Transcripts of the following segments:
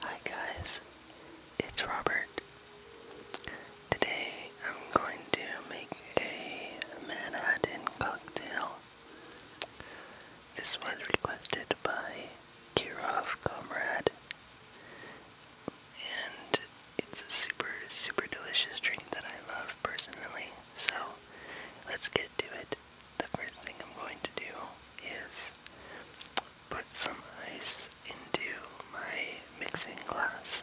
Hi guys, it's Robert. Today I'm going to make a Manhattan cocktail. This was requested by Kirov Comrade, and it's a super, super delicious drink that I love personally. So let's get to it the first thing I'm going to do is put some ice into my mixing glass.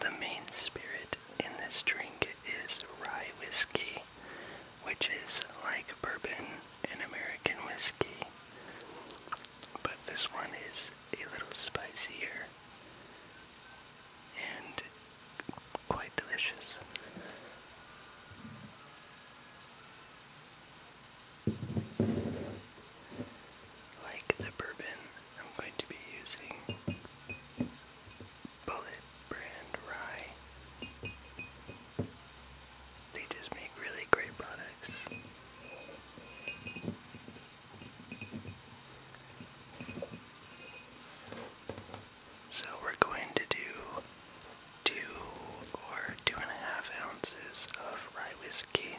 The main spirit in this drink is rye whiskey, which is like bourbon and American whiskey. But this one is a little spicier and quite delicious. Like the bourbon, I'm going to be using Bullet brand Rye. They just make really great products. So we're going to do two or two and a half ounces of rye whiskey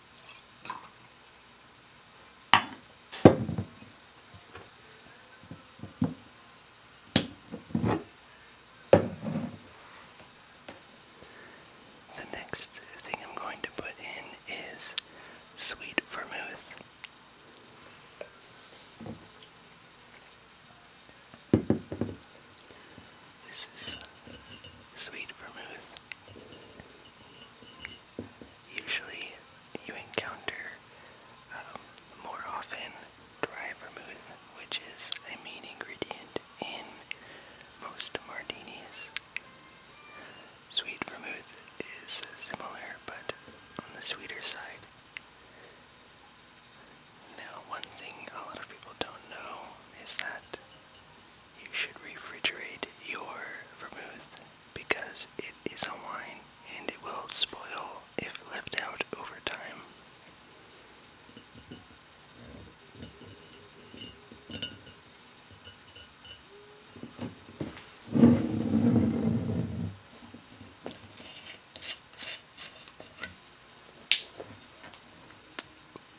The next thing I'm going to put in is sweet vermouth. This is sweet vermouth Usually, you encounter um, more often dry vermouth, which is a main ingredient in most martinis. Sweet vermouth is similar, but on the sweeter side. Now, one thing a lot of people don't know is that you should refrigerate your vermouth because it is a wine and it will spoil if left out over time.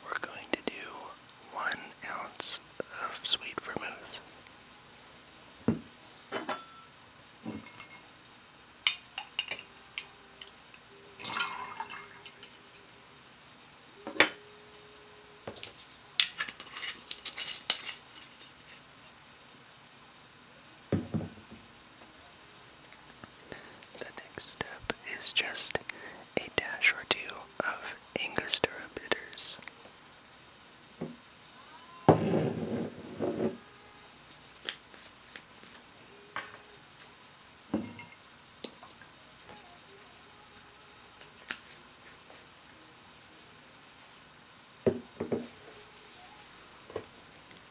We're going to do one ounce of sweet vermouth. The next step is just a dash or two of Angostura bitters.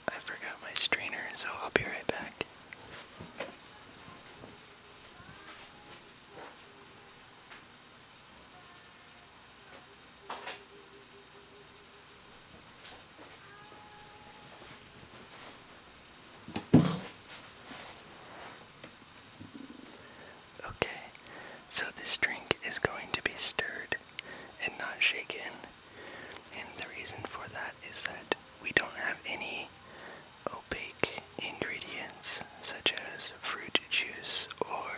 I forgot my strainer, so I'll be right back. Okay, so this drink is going to be stirred and not shaken and the reason for that is that we don't have any opaque ingredients such as fruit juice or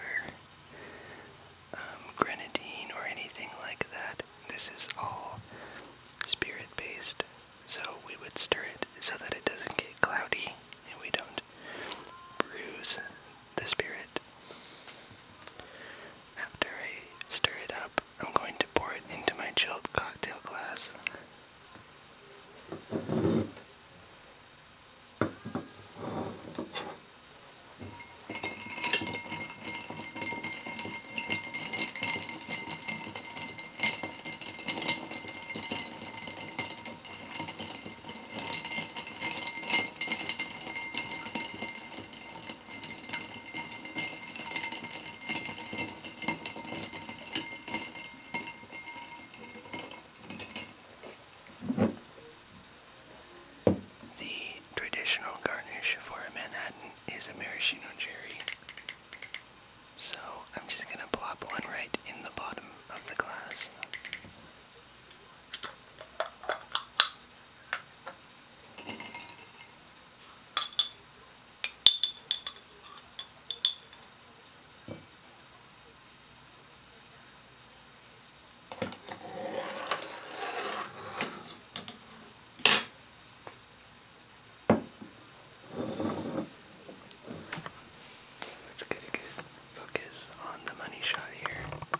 um, grenadine or anything like that. This is all spirit based, so we would stir it so that it doesn't get cloudy and we don't bruise the spirit. After I stir it up, I'm going to pour it into my chilled cocktail glass. The traditional garnish for a Manhattan is a maraschino cherry. So I'm just going to plop one right in the bottom of the glass. Let's get a good focus on the money shot here.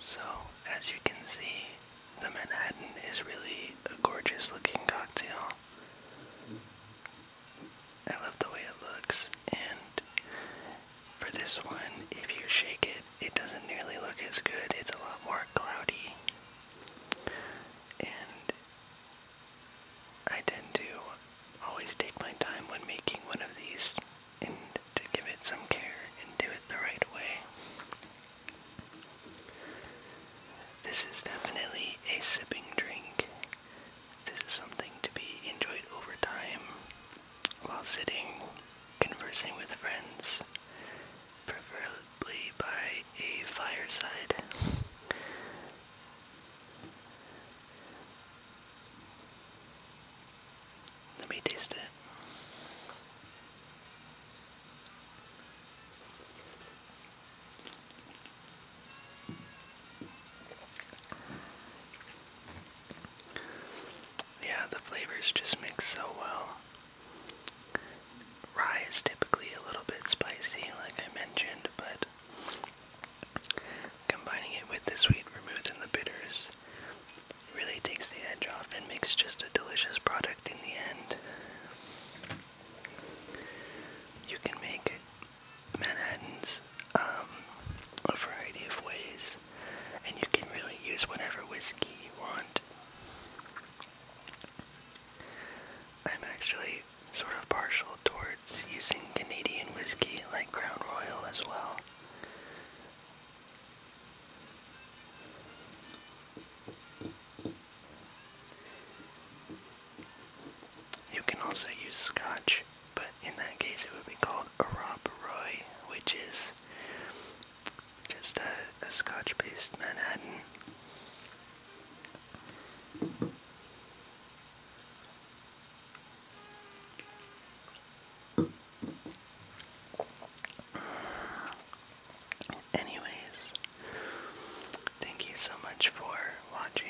So, as you can see, the Manhattan is really a gorgeous looking cocktail. I love the way it looks, and for this one, if you shake it, it doesn't nearly look as good. It's a lot more cloudy and I tend to always take my time when making one of these and to give it some care and do it the right way. This is definitely a sipping drink. This is something to be enjoyed over time while sitting, conversing with friends, preferably by a fireside. Let me taste it. Yeah, the flavors just mix so well. Rye is typically a little bit spicy, like I mentioned, but combining it with the sweet vermouth and the bitters really takes the edge off and makes just a delicious product in the end. You can make Manhattans um, a variety of ways. And you can really use whatever whiskey you want. I'm actually sort of partial towards using Canadian whiskey like Crown Royal as well. You can also use scotch but in that case it would be called a Rob Roy, which is just a, Scotch-based Manhattan. Anyways, thank you so much for watching,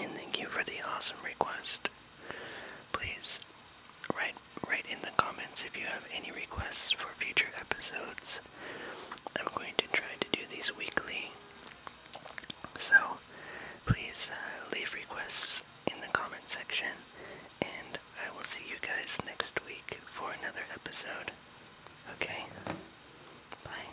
and thank you for the awesome request. Please write write in the comments if you have any requests for future episodes. I'm going to try to do these weekly. So please uh, leave requests in the comment section and I will see you guys next week for another episode. Okay. Bye.